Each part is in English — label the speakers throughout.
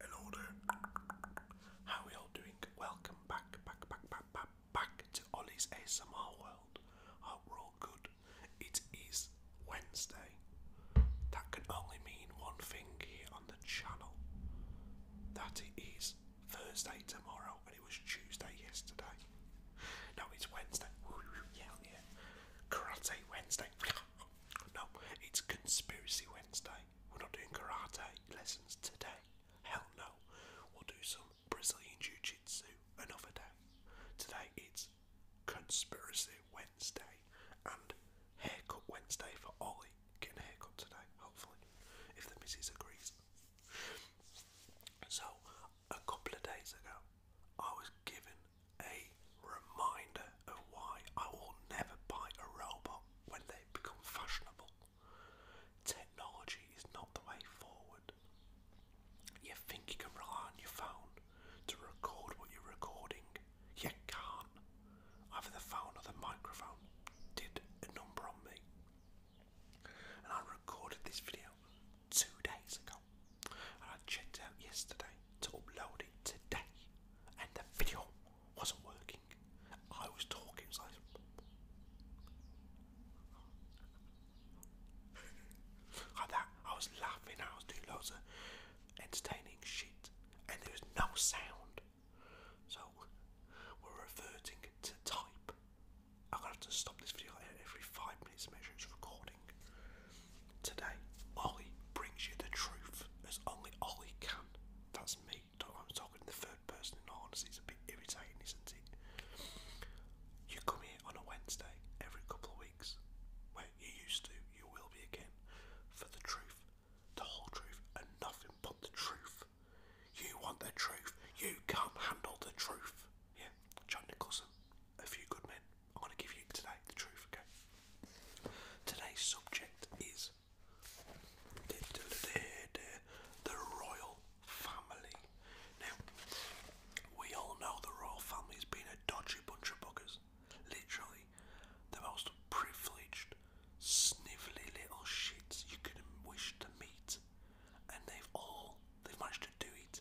Speaker 1: Hello there. How are we all doing? Welcome back, back, back, back, back, back to Ollie's ASMR world. I hope we're all good. It is Wednesday. That can only mean one thing here on the channel. That it is Thursday tomorrow, and it was Tuesday yesterday. No, it's Wednesday. Karate Wednesday. No, it's Conspiracy Wednesday. We're not doing karate lessons today. Hell no. We'll do some Brazilian Jiu Jitsu another day. Today it's Conspiracy Wednesday and Haircut Wednesday for Ollie getting a haircut today, hopefully, if the missus agrees. So, a couple of days ago, I was given a reminder of why I will never buy a robot when they become fashionable. Technology is not the way forward. You think you can rely on your phone to record what you're recording? You can't either the phone or the microphone, did a number on me. And I recorded this video two days ago, and I checked out yesterday to upload it today, and the video wasn't working. I was talking, like that, I was laughing, I was doing loads of entertaining shit, and there was no sound. So we're reverting to type. I'm gonna have to stop this video every five minutes to make sure it's recording. Today, Ollie brings you the truth as only Ollie can. That's me. Don't I'm talking in the third person in all honesty, it's a bit irritating, isn't it? You come here on a Wednesday every couple of weeks. Where you used to, you will be again, for the truth the whole truth, and nothing but the truth. You want the truth. You can't handle the truth. Yeah, John Nicholson, A Few Good Men. I'm going to give you today the truth, okay? Today's subject is the royal family. Now, we all know the royal family's been a dodgy bunch of buggers. Literally, the most privileged snivelly little shits you could not wish to meet, and they've all they've managed to do it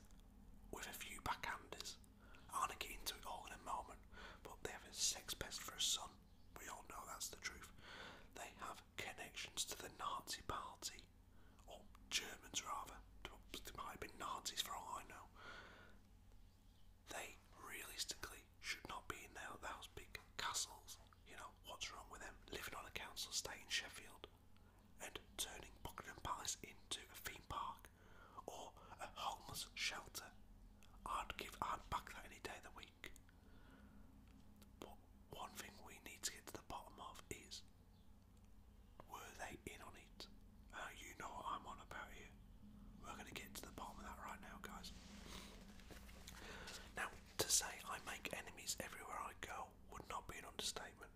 Speaker 1: with a few backhanders. I want to get into it all in a moment, but they have a sex pest for a son. We all know that's the truth. They have connections to the Nazi Party, or Germans rather. They might have been Nazis for all I know. They realistically should not be in there, those big castles. You know, what's wrong with them living on a council estate in Sheffield and turning Buckingham Palace into a theme park or a homeless shelter? I'd give, I'd back that any day of the week. But one thing we need to get to the bottom of is were they in on it? Uh, you know what I'm on about here. We're going to get to the bottom of that right now, guys. Now, to say I make enemies everywhere I go would not be an understatement.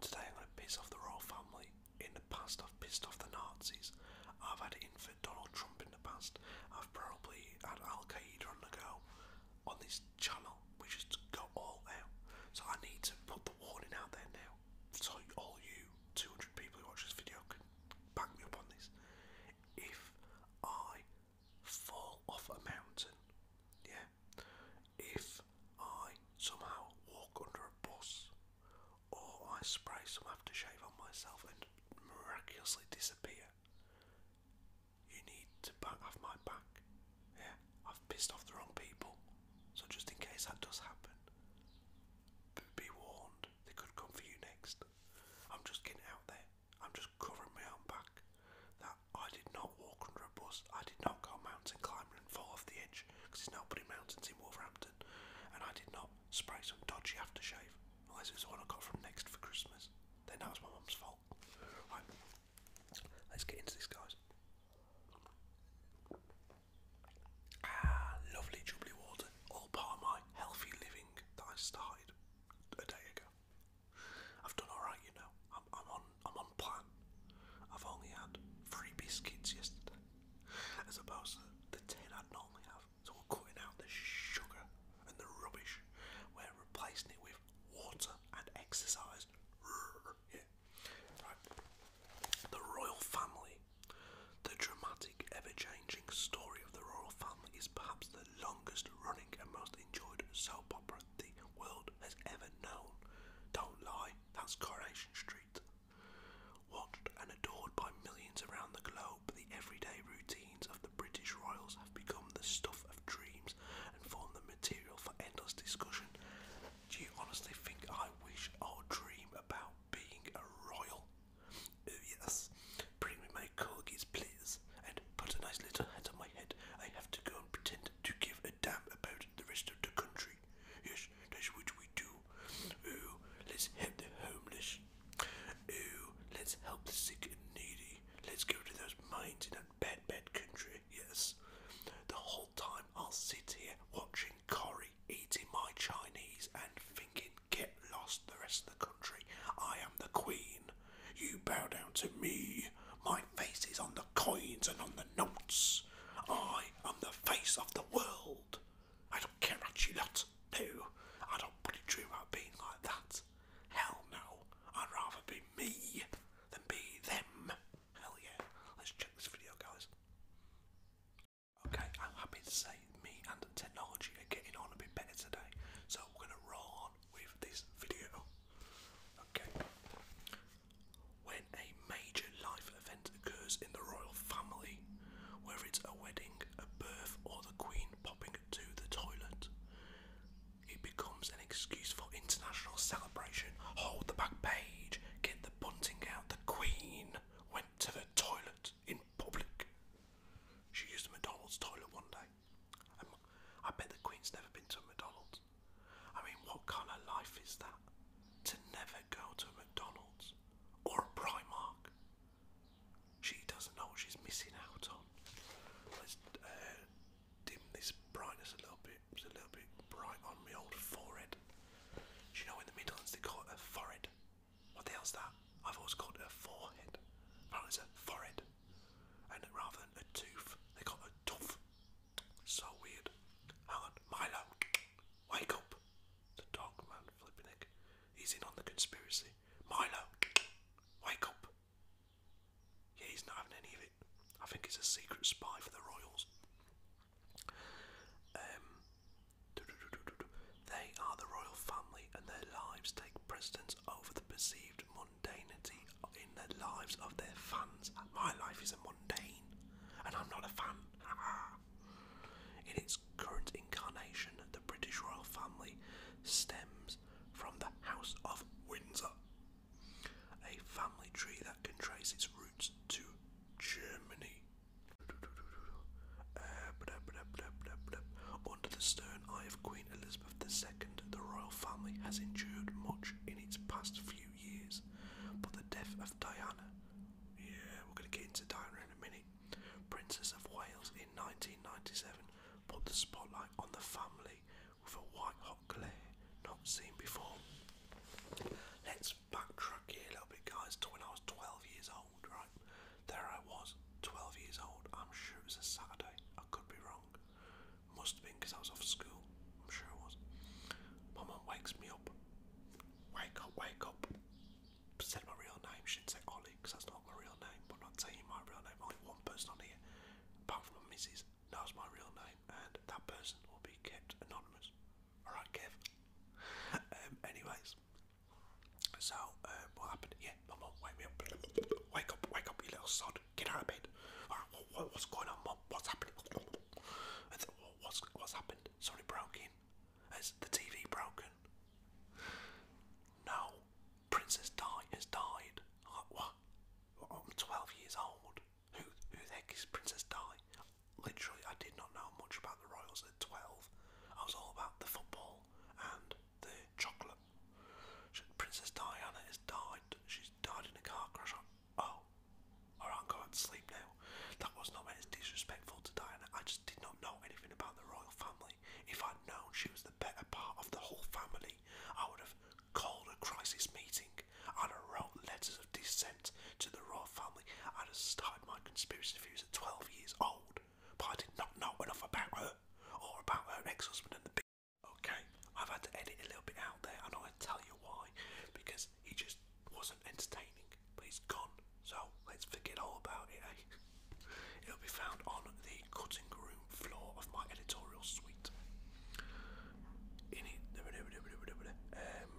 Speaker 1: Today I'm going to piss off the royal family. In the past, I've pissed off the Nazis. I've had it in for Donald Trump in the past. I've probably had Al Qaeda on the go. On this channel, we just got all out. So I need to put the warning out there now. So all you 200 people who watch this video can back me up on this if I fall off a mountain, yeah, if I somehow walk under a bus, or I spray some aftershave on myself and miraculously disappear, you need to have my back. Yeah, I've pissed off the wrong people, so just in case that does happen, be warned. They could come for you next. I'm just getting out there. I'm just covering my own back. That I did not walk under a bus. I did not go mountain climbing and fall off the edge because he's not putting mountains in Wolverhampton. And I did not spray some dodgy aftershave unless it was the I got from Next for Christmas. Then that was my mum's fault. let's get into this, guys. Ah, lovely jubilee water, all part of my healthy living that I started a day ago. I've done alright, you know. I'm, I'm on I'm on plan. I've only had three biscuits yesterday. As opposed to the ten I'd normally have. So we're cutting out the sugar and the rubbish. We're replacing it with water and exercise. Yeah. Right. The royal family, the dramatic ever changing story of the royal family is perhaps the longest running and most enjoyed soap opera the world has ever known. Don't lie, that's Coronation Street. Watched and adored by millions around the globe, the everyday routines of the British royals have become the stuff of dreams and form the material for endless discussion. Do you honestly think I wish or dream about being a royal? yes, bring me my corgis, please, and put a nice little hat on my head. I have to go and pretend to give a damn about the rest of the country. Yes, that's we do. Oh, let's help the homeless. Oh, let's help the sick and needy. Let's go to those mines in that bad, bad country. Yes. The whole time I'll sit here watching Corrie eating my Chinese and get lost, the rest of the country. I am the queen. You bow down to me. My face is on the coins and on the notes. I am the face of the world. I don't care about you lot. No, I don't bloody dream about being like that. Hell no. I'd rather be me than be them. Hell yeah. Let's check this video, guys. Okay, I'm happy to say me and technology are getting on a bit better today, so we're gonna roll on with this video. Okay. When a major life event occurs in the royal family, whether it's a wedding, a birth, or the Queen popping to the toilet, it becomes an excuse for international celebration. Hold the back page, get the bunting out. The Queen went to the toilet in public. She used a McDonald's toilet one day. I bet the Queen's never been to a McDonald's. I mean, what kind of life is that? To never go to a McDonald's or a Primark. She doesn't know what she's missing out on. Let's uh, dim this brightness a little bit. It's a little bit bright on my old forehead. Do you know in the Midlands they call it a forehead? What the hell's that? I've always called it a forehead. Apparently it's a forehead. And rather than a tooth, they call it a tooth. So weird. Hang on, Milo, wake up. The dog man, He's in on the conspiracy. Milo, wake up. Yeah, he's not having any of it. I think he's a secret spy for the royals. Um, they are the royal family, and their lives take precedence over the perceived mundanity in the lives of their fans. My life is a mundane, and I'm not a fan. in its current incarnation, the British royal family stems from the House of Windsor, a family tree that can trace its roots to Germany. Uh, under the stern eye of Queen Elizabeth II, the royal family has endured much in its past few years, but the death of Diana, yeah, we're going to get into Diana in a minute, Princess of Wales in 1997, put the spotlight on the family with a white hot glare not seen before. Let's backtrack here a little bit, guys, to when I was 12 years right? There I was, 12 years old. I'm sure it was a Saturday. I could be wrong. Must have been because I was off school. I'm sure it was. mum wakes me up. Wake up, wake up. Said my real name. Should say Ollie because that's not my real name. But not telling my real name. Only one person on here, apart from my missus, knows my real name, and that person will be kept anonymous. Alright, Kev. Um, anyways, so, um, what happened? Yeah, my mum wake me up. Wake up, wake up, you little sod. Get out of bed. Alright, what, what's going on, mum? What's happening? what's, what's happened? Sorry, broke in. Has the TV broken? No. Princess Di has died. like, what? I'm 12 years old. Who, who the heck is Princess Di? Literally, I did not know much about the Royals at 12. I was all about the football and the chocolate. Princess Diana has died. She's died in a car crash. Oh, alright, I'm going sleep now. That was not meant as disrespectful to Diana. I just did not know anything about the royal family. If I'd known she was the better part of the whole family, I would have called a crisis meeting. i wrote letters of dissent to the royal family. i started my conspiracy theories at 12 years old but I did not know enough about her or about her ex-husband and the big. Okay, I've had to edit a little bit out there, and I'll tell you why, because he just wasn't entertaining. But he's gone, so let's forget all about it. Eh? It'll be found on the cutting room floor of my editorial suite. In it, um,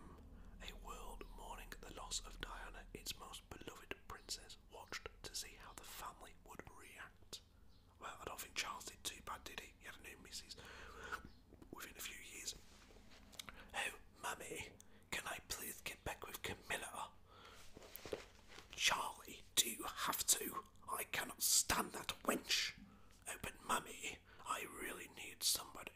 Speaker 1: a world mourning the loss of Diana, its most beloved princess watched to see how the family would react. Well, I don't think Charles did too bad, did he? He had a new missus within a few years. Oh, mummy, can I please get back with Camilla? Charlie, do you have to? I cannot stand that wench. Oh, mummy, I really need somebody.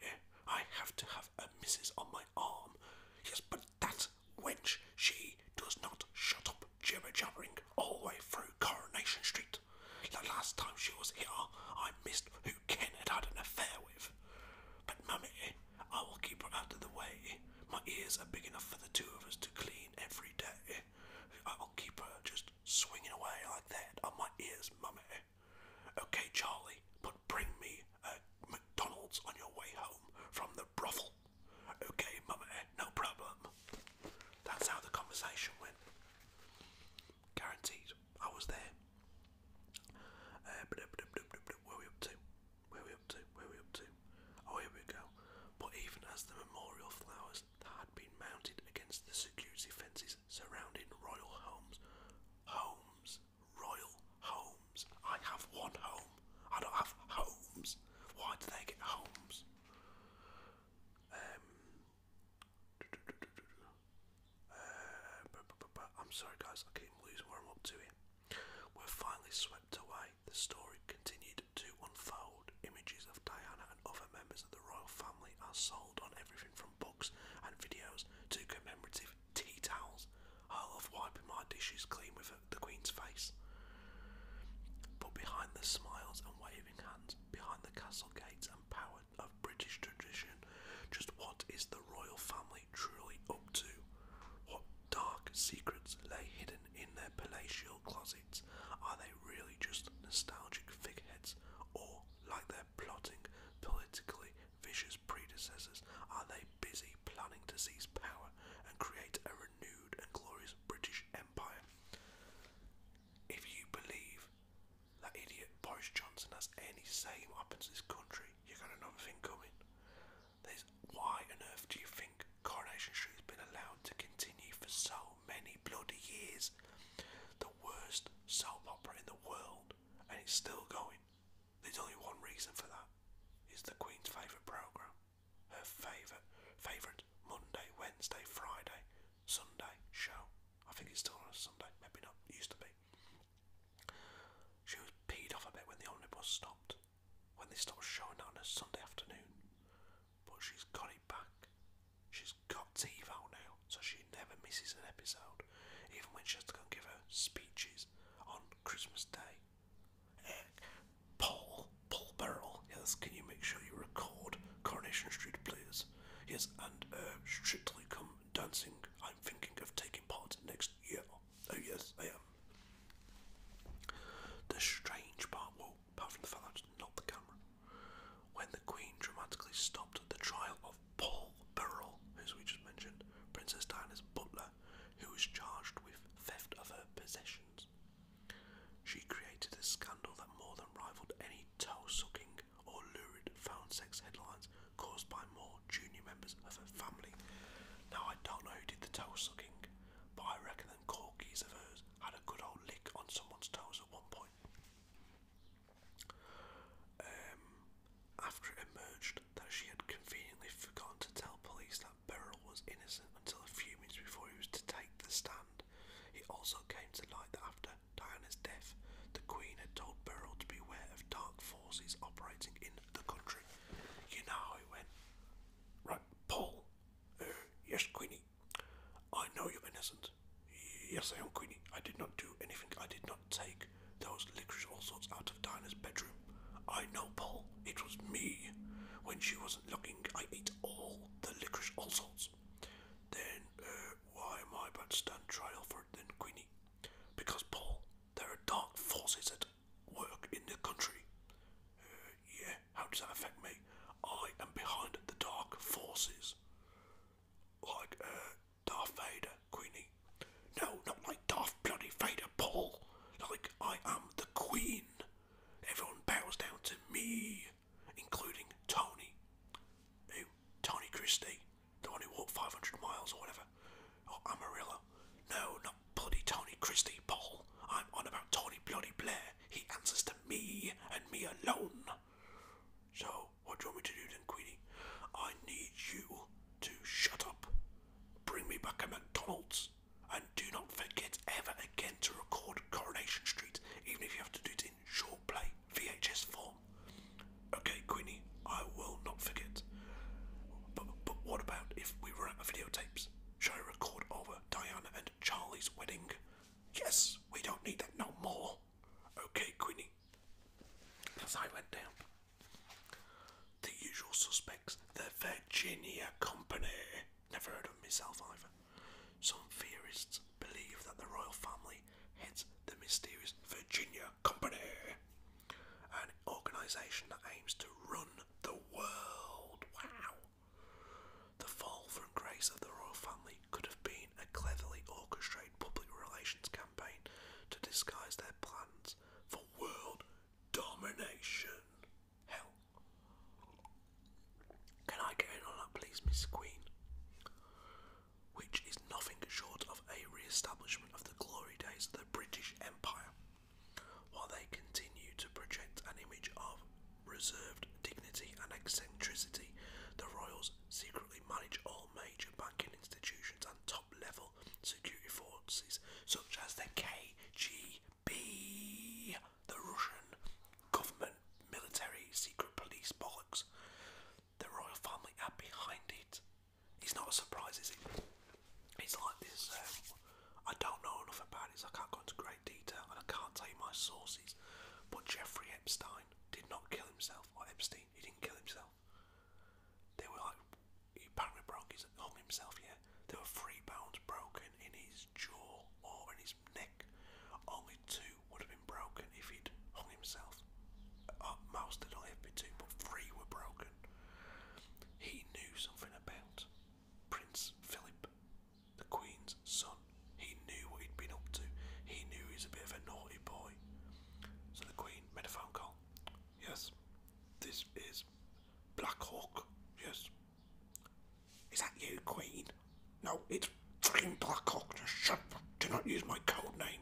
Speaker 1: I have to have a missus on my arm. Yes, but that wench, she does not shut up jibber-jabbering all the way through Coronation Street. The last time she was here, I missed who Ken had had an affair with. But mummy, I will keep her out of the way. My ears are big enough for the two of us to clean every day. I'll keep her just swinging away like that on my ears, mummy. Okay, Charlie, but bring me a McDonald's on your way home from the brothel. Okay, mummy, no problem. That's how the conversation went. Guaranteed, I was there. where we up to? Where we up to? Where we up to? Oh, here we go. But even as the memorial flowers had been mounted against the security fences surrounding royal homes, homes, royal homes. I have one home. I don't have homes. Why do they get homes? Um, um, I'm sorry, guys. I keep losing where I'm up to We're finally swept away. The story continued to unfold. Images of Diana and other members of the royal family are sold on everything from books and videos to commemorative tea towels. I love wiping my dishes clean with the Queen's face. But behind the smiles and waving hands, behind the castle gates and power of British tradition, just what is the royal family truly up to? What dark secrets lay hidden in their palatial closets? Are they really just nostalgic figheads, or, like they're plotting politically Vicious predecessors, are they busy planning to seize power and create a renewed and glorious British Empire? If you believe that idiot Boris Johnson has any say in what this country, you got another thing coming. why on earth do you think Coronation Street been allowed to continue for so many bloody years? The worst soap opera in the world, and it's still going. There's only one reason for that. It's the Queen's favourite programme. Her favourite, favourite Monday, Wednesday, Friday, Sunday show. I think it's still on a Sunday, maybe not, used to be. She was peed off a bit when the omnibus stopped, when they stopped showing that on a Sunday afternoon. But she's got it back. She's got TiVo now, so she never misses an episode, even when she has to go give her speeches on Christmas Day. Paul, Paul Beryl, yes, can you make sure you record Coronation Street, please? Yes, and uh, strictly come dancing. I'm thinking of taking part next year. Oh, yes, I am. The strange part, well, apart the fact I the camera, when the Queen dramatically stopped the trial of Paul Beryl, as we just mentioned, Princess Diana's butler, who was charged with theft of her possessions. She created a scandal that more than rivaled any toe sucking or lurid phone sex headlines caused by more junior members of her family. Now, I don't know who did the toe sucking, but I reckon them corkies of hers had a good old lick on someone's toes at one point. Um, after it emerged that she had conveniently forgotten to tell police that Beryl was innocent until a few minutes before he was to take the stand. It also came to light that after Diana's death, the Queen had told Beryl to beware of dark forces operating in the country. You know how it went. Right, Paul. Uh, yes, Queenie. I know you're innocent. Yes, I am, Queenie. I did not do anything. I did not take those licorice all sorts out of Dinah's bedroom. I know, Paul. It was me. When she wasn't looking, I ate all the licorice all sorts. Then, uh, why am I about to stand trial for it then, Queenie? Because, Paul, there are dark forces at work in the country. Uh, yeah, how does that affect me? I am behind the dark forces. Like, uh, Darth Vader, Queenie. No, not like Daft bloody Vader, Paul. Like I am the Queen. Everyone bows down to me, including Tony. Who? Tony Christie, the one who walked 500 miles or whatever. Or Amarillo. No, not bloody Tony Christie, Paul. I'm on about Tony bloody Blair. He answers to me and me alone. So, what do you want me to do then, Queenie? I need you to shut up, bring me back a McDonald's, and do not forget ever again to record Coronation Street, even if you have to do it in short play VHS form. Okay, Queenie, I will not forget. But, but what about if we run out of videotapes? Shall I record over Diana and Charlie's wedding? Yes, we don't need that no more. Okay, Queenie. As I went down. The usual suspects, the Virginia Company. Never heard of myself either. Some theorists believe that the royal family heads the mysterious Virginia Company, an organisation that aims to run the world. Wow! The fall from grace of the royal family could have been a cleverly orchestrated public relations campaign to disguise their plans for world domination. Hell. Can I get in on that, please, Miss Queen? Which is nothing short of a re establishment of the glory days of the British Empire, while they continue to project an image of reserved dignity and eccentricity. The royals secretly manage all major banking institutions and top level security forces such as the KGB, the Russian government military secret police bollocks. The royal family are behind it. It's not a surprise, is it? It's like this. Um, I don't know enough about it, I can't go into great detail, and I can't tell you my sources. But Jeffrey Epstein did not kill himself, or Epstein he didn't kill himself. They were like, he apparently broke his, hung himself, yeah. There were three bones broken in his jaw or in his neck. Only two would have been broken if he'd hung himself. Uh, most there'd have been two, but three were broken. He knew something about Prince Philip, the Queen's son. He knew what he'd been up to. He knew he was a bit of a naughty boy. So the Queen made a phone call Yes. This is Black Hawk. Yes. Is that you, Queen? No, it's fucking Black Hawk. Just shut up. Do not use my code name.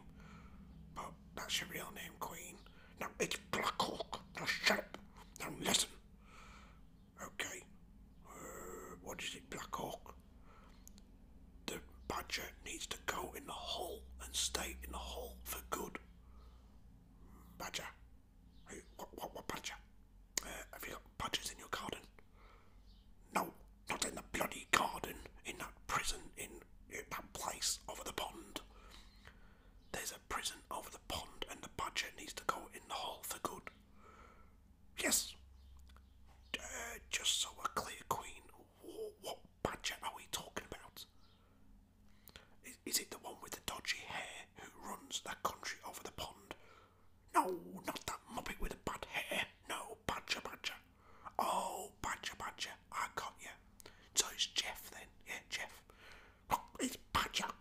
Speaker 1: But that's your real name, Queen. No, it's Black Hawk. Just shut up. Now listen. Okay. Uh, what is it, Black Hawk? the badger needs to go in the hole and stay in the hole for good. Badger. what, what, what badger? Uh, have you got badgers in your garden? No, not in the bloody garden, in that prison, in, in that place over the pond. There's a prison over the pond, and the badger needs to go in the hole for good. Yes. Uh, just so we clear, Queen, badger are we talking about? Is, it the one with the dodgy hair who runs that country over the pond? No, not that muppet with the bad hair. No, badger, badger. Oh, badger, badger. I got you. So it's Jeff then. Yeah, Jeff. it's badger.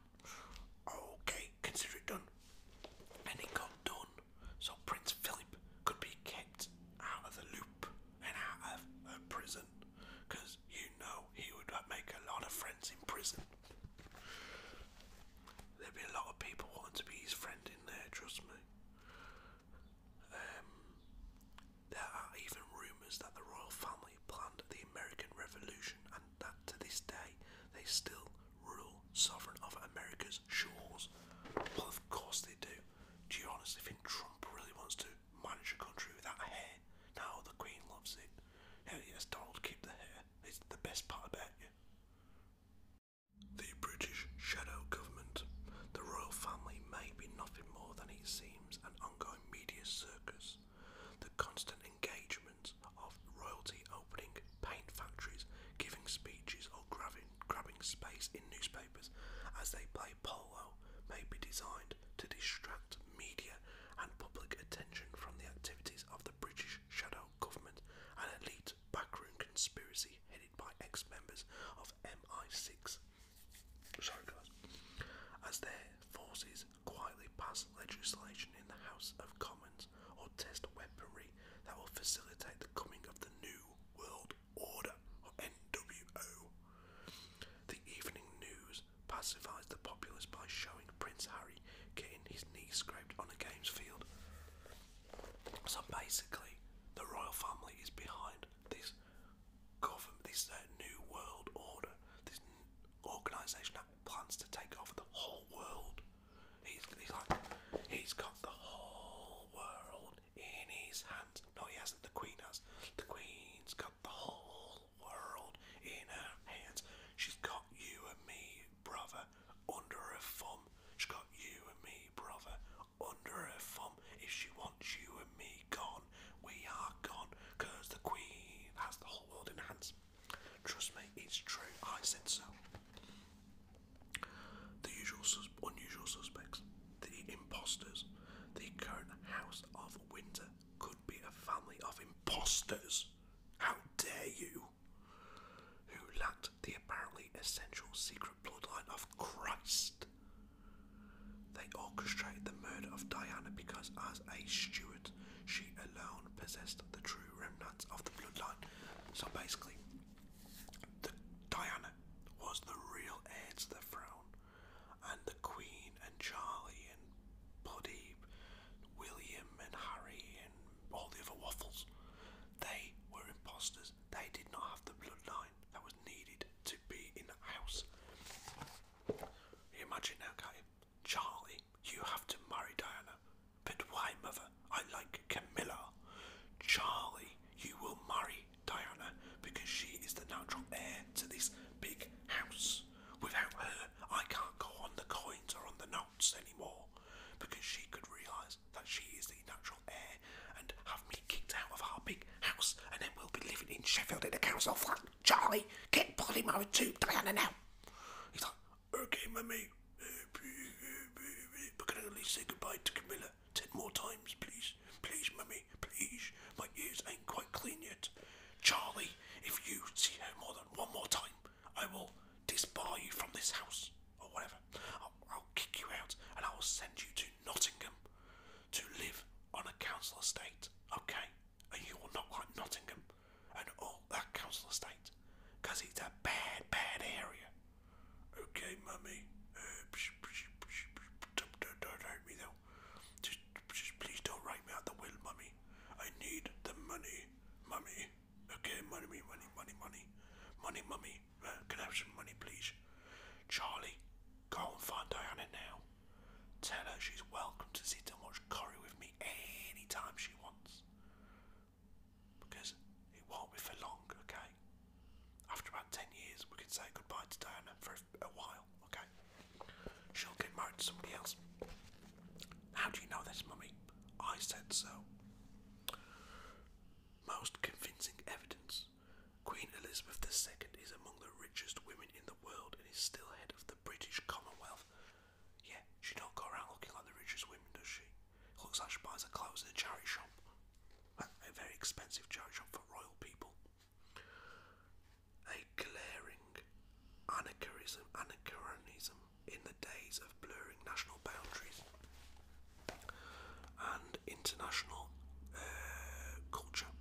Speaker 1: Okay, consider it done. And it got done. So Prince Philip could be king out of the loop and out of uh, prison because you know he would uh, make a lot of friends in prison. There'd be a lot of people wanting to be his friend in there, trust me. Um, there are even rumours that the royal family planned the American Revolution and that to this day they still rule sovereign of America's shores. Well, of course they do it. Do you honestly think Trump really wants to manage a country without hair? No, the Queen loves it. Hell yes, Donald, keep the hair. It's the best part about you. The British shadow government. The royal family may be nothing more than it seems an ongoing media circus. The constant engagement of royalty opening paint factories, giving speeches, or grabbing grabbing space in newspapers as they play polo may be designed to distract media and public attention from the activities of the British shadow government, an elite backroom conspiracy headed by ex members of MI6. Sorry, guys. As their forces quietly pass legislation in the House of Commons or test weaponry that will facilitate the coming of the New World Order, or NWO. The evening news pacifies the populace by showing Prince Harry getting his knee scraped on a games field. So basically, the royal family is behind this this uh, new world order, this organisation that plans to take over the whole world. He's, he's like, he's got the whole world in his hands. No, he hasn't. The Queen has. The Queen's got the whole world in her hands. She's got you and me, brother, under her thumb. She's got you and me, brother, under her thumb. If she wants you and me gone, we are gone. Cause the Queen has the whole world in her hands. Trust me, it's true. I said so. The usual unusual suspects, the imposters. The current House of Windsor could be a family of imposters. How dare you! Who lacked the apparently essential secret bloodline of Christ. They orchestrated the murder of Diana because, as a Stuart, she alone possessed the true remnants of the bloodline. So basically, Diana was the real heir to the throne, and the Queen and Charlie and Bloody William and Harry and all the other waffles, they were impostors. They did not have the bloodline that was needed to be in the house. You imagine now, can Charlie, you have to marry Diana. But why, mother? I like Camilla. Charlie, you will marry Diana because she is the natural heir to this big house. Without her, I can't go on the coins or on the notes anymore because she could realise that she is the natural heir and have me kicked out of our big house and then we'll be living in Sheffield in the council flat. Charlie, get bloody married to Diana now. He's like, okay, mummy, we're going say goodbye to Camilla ten more times, please. Please, mummy, please. My ears ain't quite clean yet. Charlie, if you see her more than one more time, I will disbar you from this house, or whatever. I'll, kick you out, and I will send you to Nottingham to live on a council estate, okay? And you will not like Nottingham and all that council estate, because it's a bad, bad area. Okay, mummy. Uh, psh, psh, psh, don't, don't, don't hurt me though. Just, just please don't write me out the will, mummy. I need the money, mummy. Okay, money, money, money, money, money, mummy. Uh, can I have some money, please? Charlie, go and find Diana now. Tell her she's welcome to sit and watch Corrie with me anytime she wants. Because it won't be for long, okay? After about 10 years, we could say goodbye to Diana for a while, okay? She'll get married to somebody else. How do you know this, Mummy? I said so. Most convincing evidence. Queen Elizabeth II is among the richest women in the world and is still head of the British Commonwealth. Yeah, she don't go around looking like the richest women, does she? Looks like she buys her clothes in a charity shop. A very expensive charity shop for royal people. A glaring anachronism, in the days of blurring national boundaries and international uh, culture,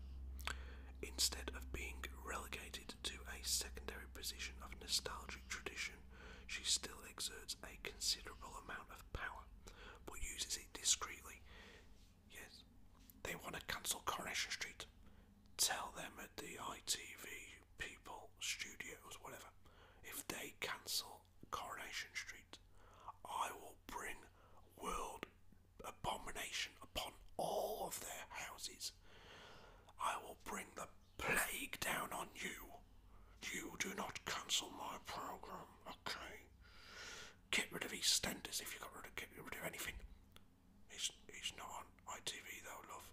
Speaker 1: instead of being relegated to a secondary position of nostalgic tradition, she still exerts a considerable amount of power but uses it discreetly. Yes, they want to cancel Coronation Street. Tell them at the ITV people, studios, whatever, if they cancel Coronation Street, I will bring world abomination upon all of their houses. I will bring the plague down on you. You do not cancel my program, okay? Get rid of EastEnders if you got rid of get rid of anything. He's he's not on ITV though, love.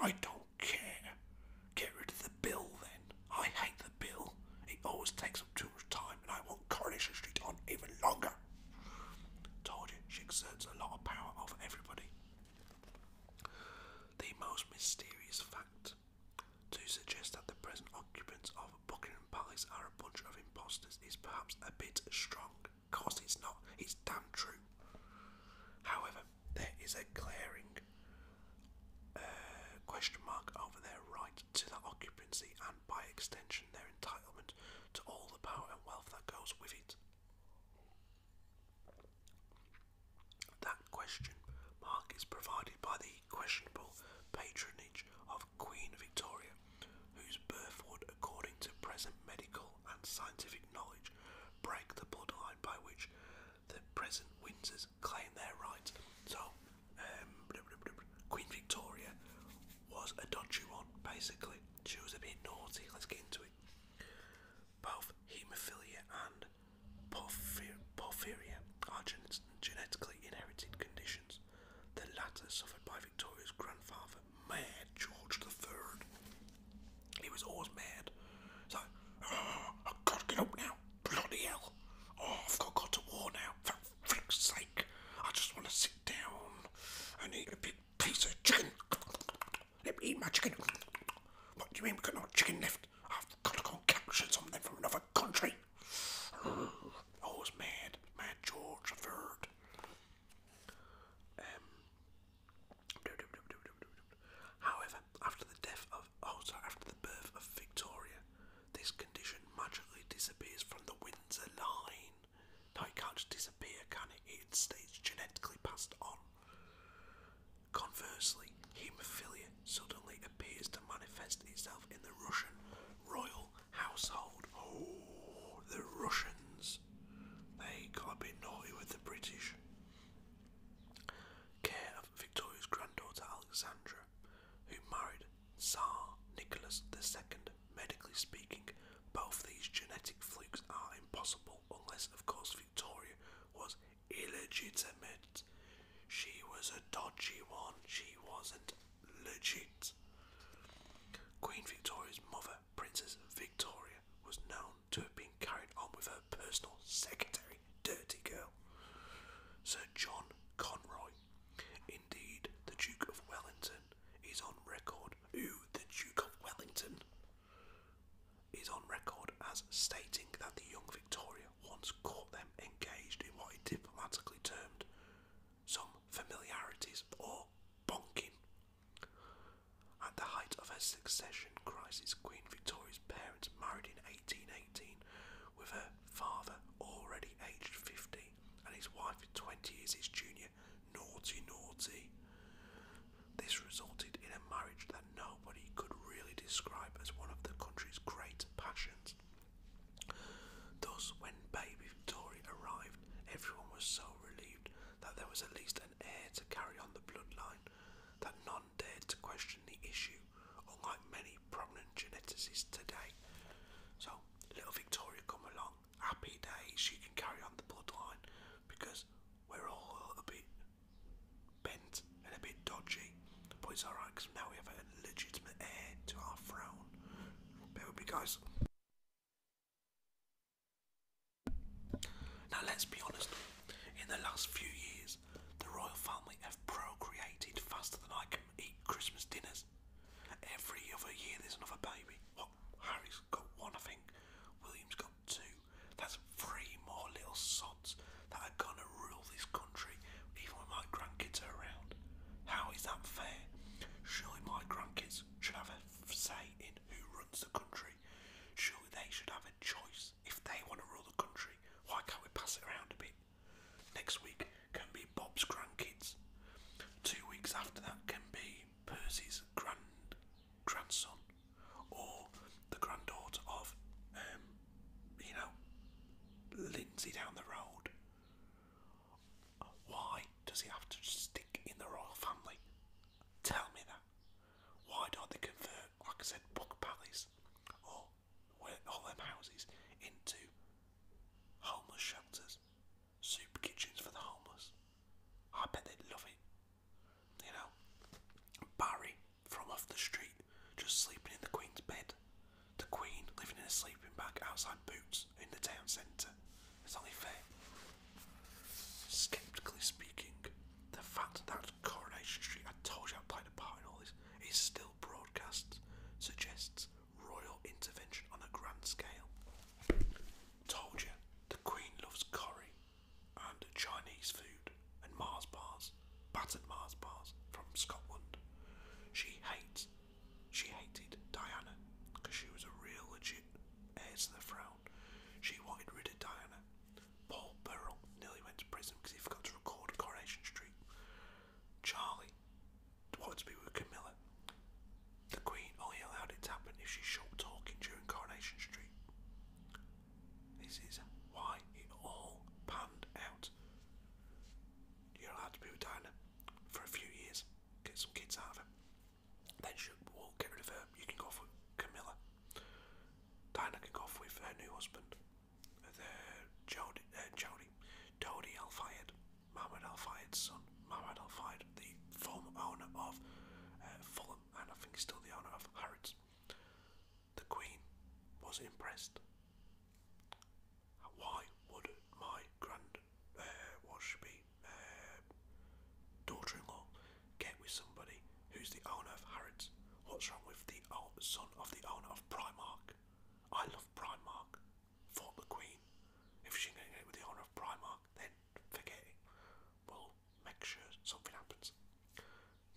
Speaker 1: I don't care. Get rid of the bill then. I hate the bill. It always takes up too much time, and I want Coronation Street on even longer. Told you, she exerts a lot of power over everybody. The most mysterious fact to suggest that the present occupants of Buckingham Palace are a bunch of impostors is perhaps a bit strong. because it's not, it's damn true. However, there is a glaring uh, question mark over their right to that occupancy and, by extension, their entitlement to all the power and wealth that goes with it. That question mark is provided by the questionable patronage of Queen Victoria, whose birth would, according to present medical and scientific knowledge, break the bloodline by which the present Windsors claim their rights. So, um, Queen Victoria was a dodgy one, basically. She was a bit naughty, let's get into it. Both haemophilia and porphyr porphyria are genetically inherited conditions, the latter suffered by Victoria's grandfather, Mad George III. He was always mad. So, ah, I've got to get up now. Bloody hell. Oh, I've got, got to war now. For frick's sake. I just want to sit down I need a big piece of chicken. Let me eat my chicken. What do you mean we've got no chicken left? I've got to go capture something from another country. Oh, mad, mad George III. Um, however, after the death of, oh, after the birth of Victoria, this condition magically disappears from the Windsor line. Now it can't just disappear, can it? It stays genetically passed on. Conversely, haemophilia suddenly appears to manifest itself in the Russian royal household. Oh, the Russians. They got a bit naughty with the British. Care of Victoria's granddaughter Alexandra, who married Tsar Nicholas II. Medically speaking, both these genetic flukes are impossible unless, of course, Victoria was illegitimate. She was a dodgy one. She wasn't legit. Queen Victoria's mother, Princess Victoria, was known to have been carried on with her personal secretary, Dirty Girl, Sir John Conroy. Indeed, the Duke of Wellington is on record. Ooh, the Duke of Wellington is on record as stating that the young Victoria once caught them engaged in what he diplomatically termed some familiarities or bonking. At the height of her succession crisis, Queen Victoria's parents married in 1818, with her father already aged 50 and his wife 20 years his junior. Naughty, naughty. This resulted in a marriage that nobody could really describe as one of the country's great passions. Thus, when baby Victoria arrived, everyone was so relieved that there was at least an heir to carry on the bloodline that none dared to question the issue, unlike many prominent geneticists today. So, little Victoria come along, happy days, she can carry on the bloodline because we're all a little bit bent and a bit dodgy, but it's alright because now we have a legitimate heir to our throne. There with me, guys. Now, let's be honest, in the last few years, the royal family have procreated faster than I can eat Christmas dinners. Every other year, there's another baby. What? Harry's got one, I think. William's got two. That's three more little sods that are gonna rule this country, even when my grandkids are around. How is that fair? Surely my grandkids should have a say in who runs the country. Surely they should have a choice. If they want to rule the country, why can't we pass it around a bit? Next week can be Bob's grandkids. Two weeks after that can be Percy's grand grandson or the granddaughter of, um, you know, Lindsay down the road. Why does he have to stick in the royal family? Tell me that. Why don't they convert, like I said, book Palace or all them houses into homeless shelters, soup kitchens for the homeless? I bet they'd love it. You know, Barry from off the street, just sleeping in the Queen's bed. The Queen living in a sleeping bag outside Boots in the town centre. It's only fair. Skeptically speaking, the fact that Coronation Street, I told you I played a part in all this, is still broadcast suggests royal intervention on a grand scale. Told you, the Queen loves Corrie and Chinese food and Mars bars, battered Mars bars from Scotland. She hates, she hated Diana because she was a real legit heir to the throne. She wanted rid of Diana. Paul Burrell nearly went to prison because he forgot to record Coronation Street. Charlie wanted to be with Camilla. The Queen only allowed it to happen if she shot talking during Coronation Street. This is why it all panned out. You're allowed to be with Diana for a few years, get some kids out of her. Then she we'll get rid of her. You can go off Camilla. Diana can go off with her new husband, the Jody, uh, Jody, Dodi Al Fayed, son, Mohammed Al the former owner of uh, Fulham, and I think he's still the owner of Harrods. The Queen was impressed. Why would my grand, uh, uh, daughter-in-law get with somebody who's the owner of Harrods? What's wrong with the son of the owner of Primark? I love Primark. Thought the Queen. If she can get with the owner of Primark, then forget it. Well, make sure something happens.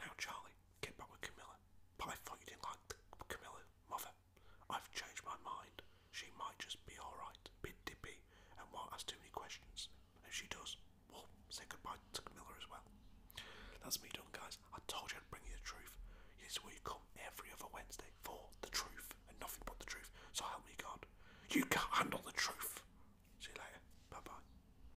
Speaker 1: Now, Charlie, get back with Camilla. But I thought you didn't like the mother. I've changed my mind. She might just be alright, bit dippy, and won't ask too many questions. If she does, we say goodbye to Camilla as well. That's me done, guys. I told you I'd bring you the truth. This is come every other Wednesday for the truth and nothing but the truth. So help me God. You can't handle the truth. See you later. Bye bye.